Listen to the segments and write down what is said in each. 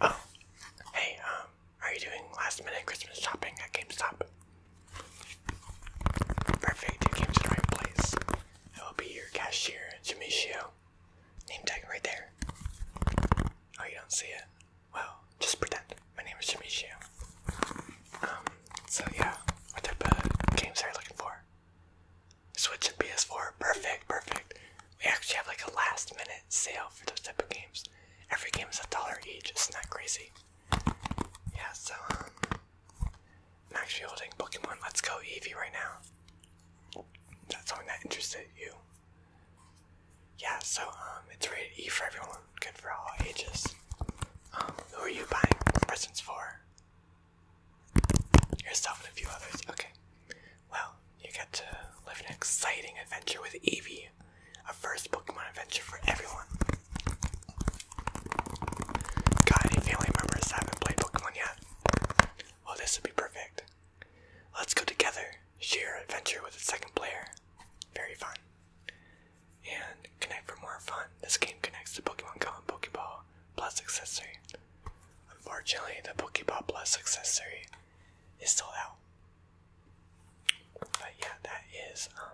Oh, hey, um, are you doing last minute Christmas shopping at GameStop? Perfect, you came to the right place. I will be your cashier, Jamisio. Name tag right there. Oh, you don't see it? Well, just pretend. My name is Jamisio. Um, so yeah, what type of games are you looking for? Switch and PS4, perfect, perfect. We actually have like a last minute sale for those type of games. Every game is a dollar each, it's not crazy. Yeah, so um, I'm actually holding Pokemon Let's Go Eevee right now. That's something that interested you. Yeah, so um, it's rated E for everyone, good for all ages. Um, who are you buying presents for? Yourself and a few others, okay. Well, you get to live an exciting adventure with Eevee, a first Pokemon adventure for everyone. Got family members that haven't played Pokemon yet? Well, this would be perfect. Let's go together, share adventure with a second player. Very fun. And connect for more fun. This game connects to Pokemon Go and Pokeball, plus accessory Unfortunately, the Pokeball Plus accessory is still out. But yeah, that is um,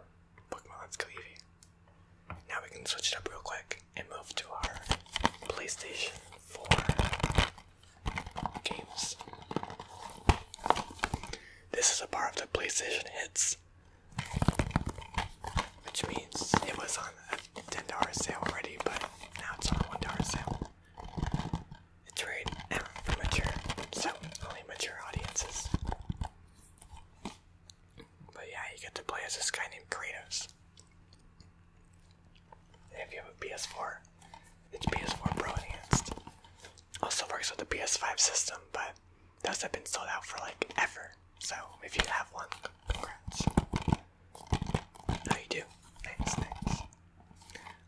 Pokemon Let's Go Eevee. Now we can switch it up real quick and move to our PlayStation 4 games. This is a part of the PlayStation Hits, which means it was on ten dollar sale already, but now it's on one dollar sale. It's rated M for mature, so only mature audiences. But yeah, you get to play as this guy named Kratos. if you have a PS4, it's PS4 Pro Enhanced. Also works with the PS5 system, but those have been sold out for like ever. So if you have one, congrats. Oh, you do? Nice,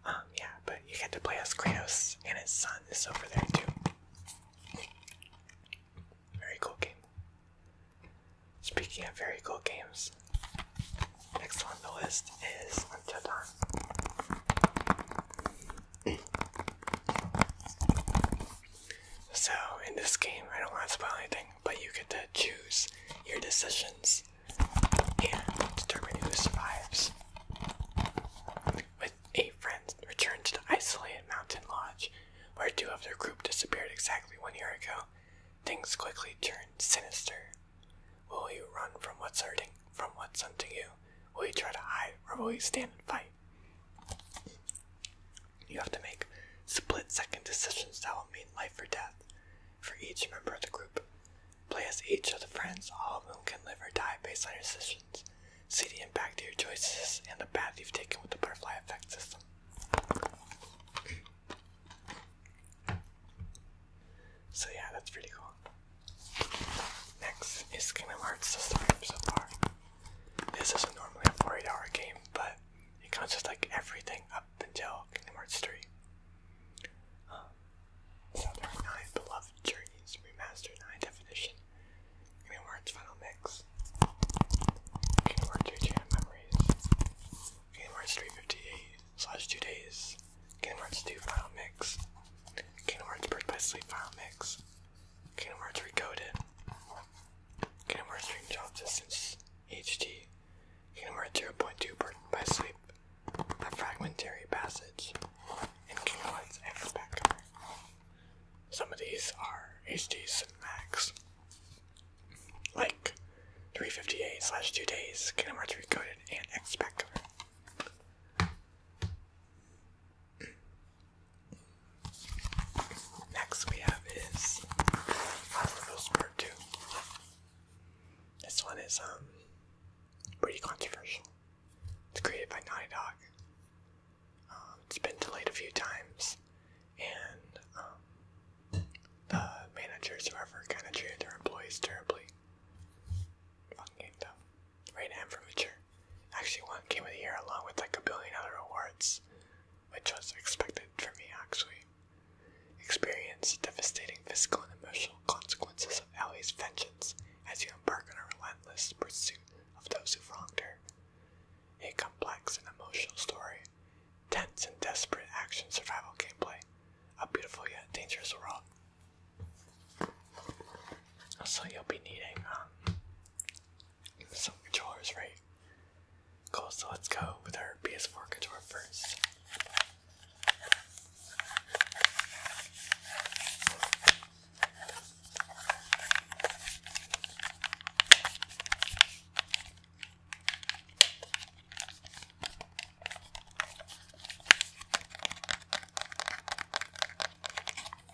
Um, yeah, but you get to play as Kratos, and his son is over there too. Very cool game. Speaking of very cool games, next on the list is Until so, in this game, I don't want to spoil anything, but you get to choose your decisions and determine who survives. With eight friends return to the isolated mountain lodge, where two of their group disappeared exactly one year ago, things quickly turned sinister. Will you run from what's hurting, from what's hunting you? Will you try to hide, or will you stand and fight? You have to make split second decisions that will mean life or death for each member of the group. Play as each of the friends, all of whom can live or die based on your decisions. See the impact of your choices and the path you've taken with the butterfly effect system. So yeah, that's pretty cool. Next is Kingdom Hearts, the story so far. This is normally a 48 hour game, but it consists like everything up until Kingdom Hearts 3. Um, so there are nine beloved journeys remastered in high definition. Kingdom Hearts Final Mix. Kingdom Hearts 3 Jam Memories. Kingdom Hearts 358 slash 2 Days. Kingdom Hearts 2 Final Mix. Kingdom Hearts Birth by Sleep Final Mix. Kingdom Hearts Recoded. Kingdom Hearts Dream Job Distance HD. Kingdom Hearts 0.2 Burdened by Sleep. A Fragmentary Passage. And Kingdom Hearts Ever Back. Some of these are HDs max. Like 358 slash 2 days, Kingdom Hearts Recoded, and X Back Next we have is Last of This one is um pretty controversial. It's created by Naughty Dog. Um, it's been delayed a few times, and um, the managers, whoever, kind of treated their employees terribly. Fucking though. Rated M for Actually won Game of the Year along with like a billion other awards which was expected for me actually, Experience devastating physical and emotional consequences of Ellie's vengeance as you embark on a relentless pursuit of those who wronged her. A complex and emotional story, tense and desperate action survival gameplay, a beautiful yet dangerous world. So you'll be needing um, some controllers, right? Cool, so let's go with our PS4 controller first.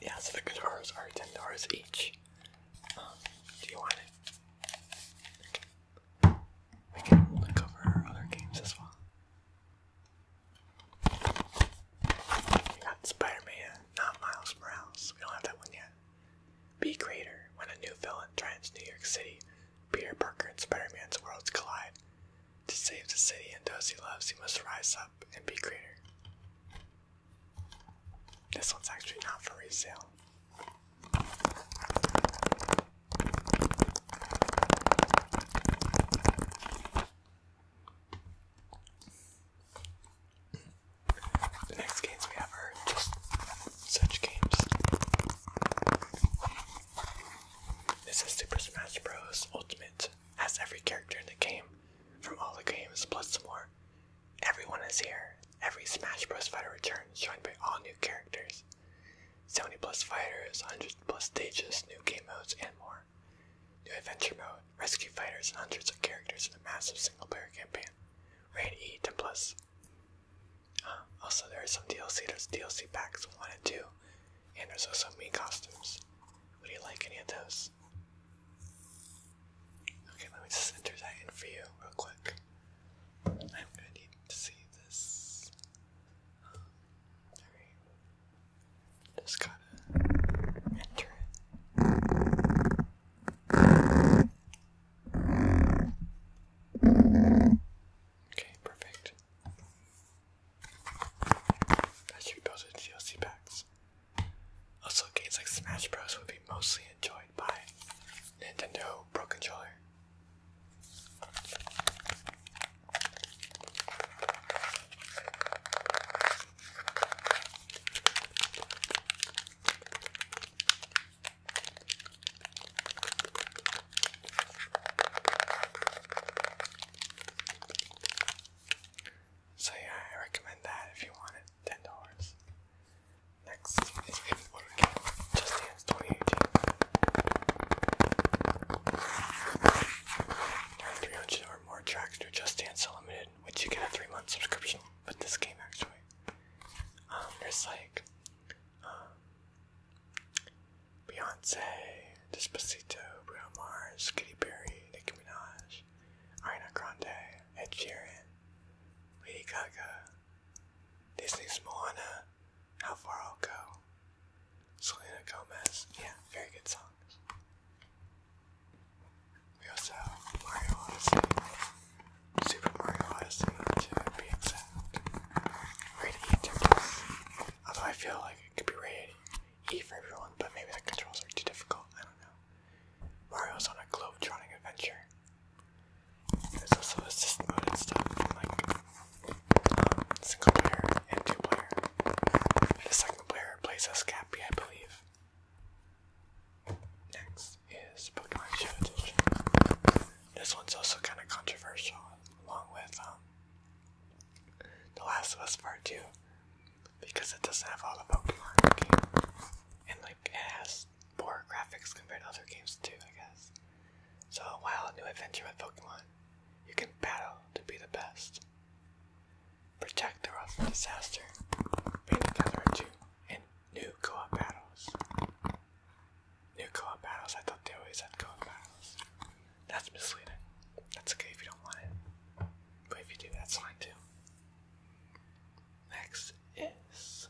Yeah, so the guitars are ten dollars each do you want it? We can cover other games as well. We got Spider-Man, not Miles Morales. We don't have that one yet. Be greater when a new villain threatens New York City. Peter Parker and Spider-Man's worlds collide. To save the city and those he loves, he must rise up and be greater. This one's actually not for resale. The next games we have just such games. This is Super Smash Bros. Ultimate. Has every character in the game from all the games plus some more. Everyone is here. Every Smash Bros. fighter returns, joined by all new characters. 70 plus fighters, 100 plus stages, new game modes, and more. New adventure mode, rescue fighters, and hundreds of characters in a massive single player campaign. Raid E 10 plus. Um, also, there are some DLC. There's DLC packs 1 and 2, and there's also me costumes. Would you like any of those? Okay, let me just enter that in for you real quick. I'm gonna need to see this. Just gotta enter it. Okay, perfect. That should be built into DLC packs. Also, games like Smash Bros. would be mostly enjoyed by Nintendo Pro Controller. So yeah, I recommend that if you want it, ten dollars. Next is Inwood Game, Just Dance 2018. There or more tracks through Just Dance Unlimited, which you get a three-month subscription with this game actually. Um, there's like, um, Beyonce, Disposito, Bruno Mars, Katy Perry, Nicki Minaj, Ariana Grande, Ed Sheeran, Lady Gaga, Disney's Moana, How Far I'll Go, Selena Gomez. Yeah, very good songs. We also have Mario Odyssey, Super Mario Odyssey to be exact. Rated E, I guess. Although I feel like it could be rated E for everyone, but maybe the controls are too difficult. I don't know. Mario's on a globe drowning adventure. There's also assist mode and stuff, like um, single player and two player. And the second player plays as Cappy, I believe. Next is Pokemon Show This one's also kind of controversial, along with um, the Last of Us Part 2 because it doesn't have all the Pokemon game. And like it has poor graphics compared to other games too, I guess. So while a new adventure with Pokemon, you can battle to be the best. Protect the world from disaster. Bring together two and new co-op battles. New co-op battles, I thought they always had co-op battles. That's misleading. That's okay if you don't want it. But if you do, that's fine too. Next is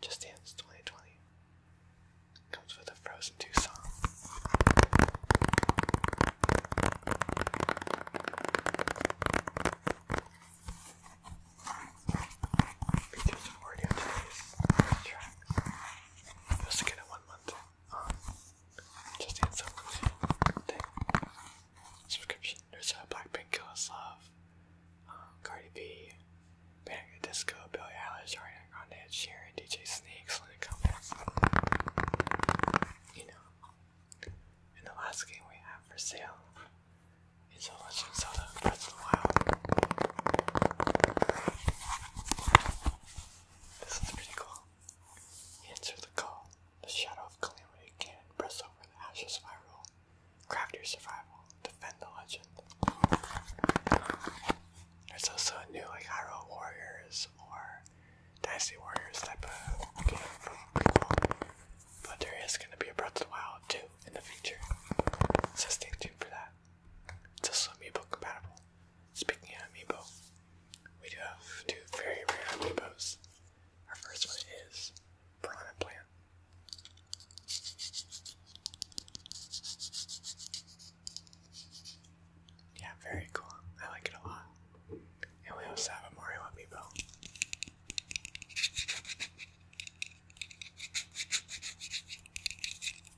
Just Dance 2020. Comes with a Frozen 2 song. Features four new tracks. you get a one month um, just need some thing. subscription. There's a Blackpink, Kill Us Love, um, Cardi B, Panic at Disco, Billy Eilish, Ariana Grande, Ed DJ Snake, Selena Gomez. You know. And the last game we have for sale is a Legend of Zelda Breath of This is pretty cool. Answer the call. The shadow of calamity can press over the ashes spiral. Craft your survival. Defend the legend. There's also a new like Hyrule Warriors or Dynasty Warriors type of game But there is gonna be a Breath of the Wild too in the future. So stay tuned for that. It's also amiibo compatible. Speaking of amiibo, we do have two very rare amiibos. Our first one is Piranha Plant. Yeah, very cool. I like it a lot. And we also have a Mario amiibo.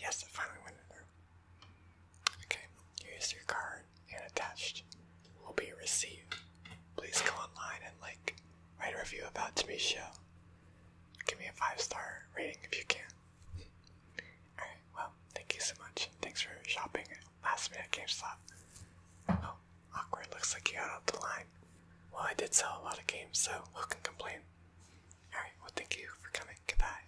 Yes, it finally went through. Okay, here's your card, and attached will be a receipt please go online and like write a review about Tami's show. Give me a five star rating if you can. Alright, well, thank you so much. Thanks for shopping at last minute GameStop. Oh, awkward. Looks like you got off the line. Well, I did sell a lot of games, so who can complain? Alright, well, thank you for coming. Goodbye.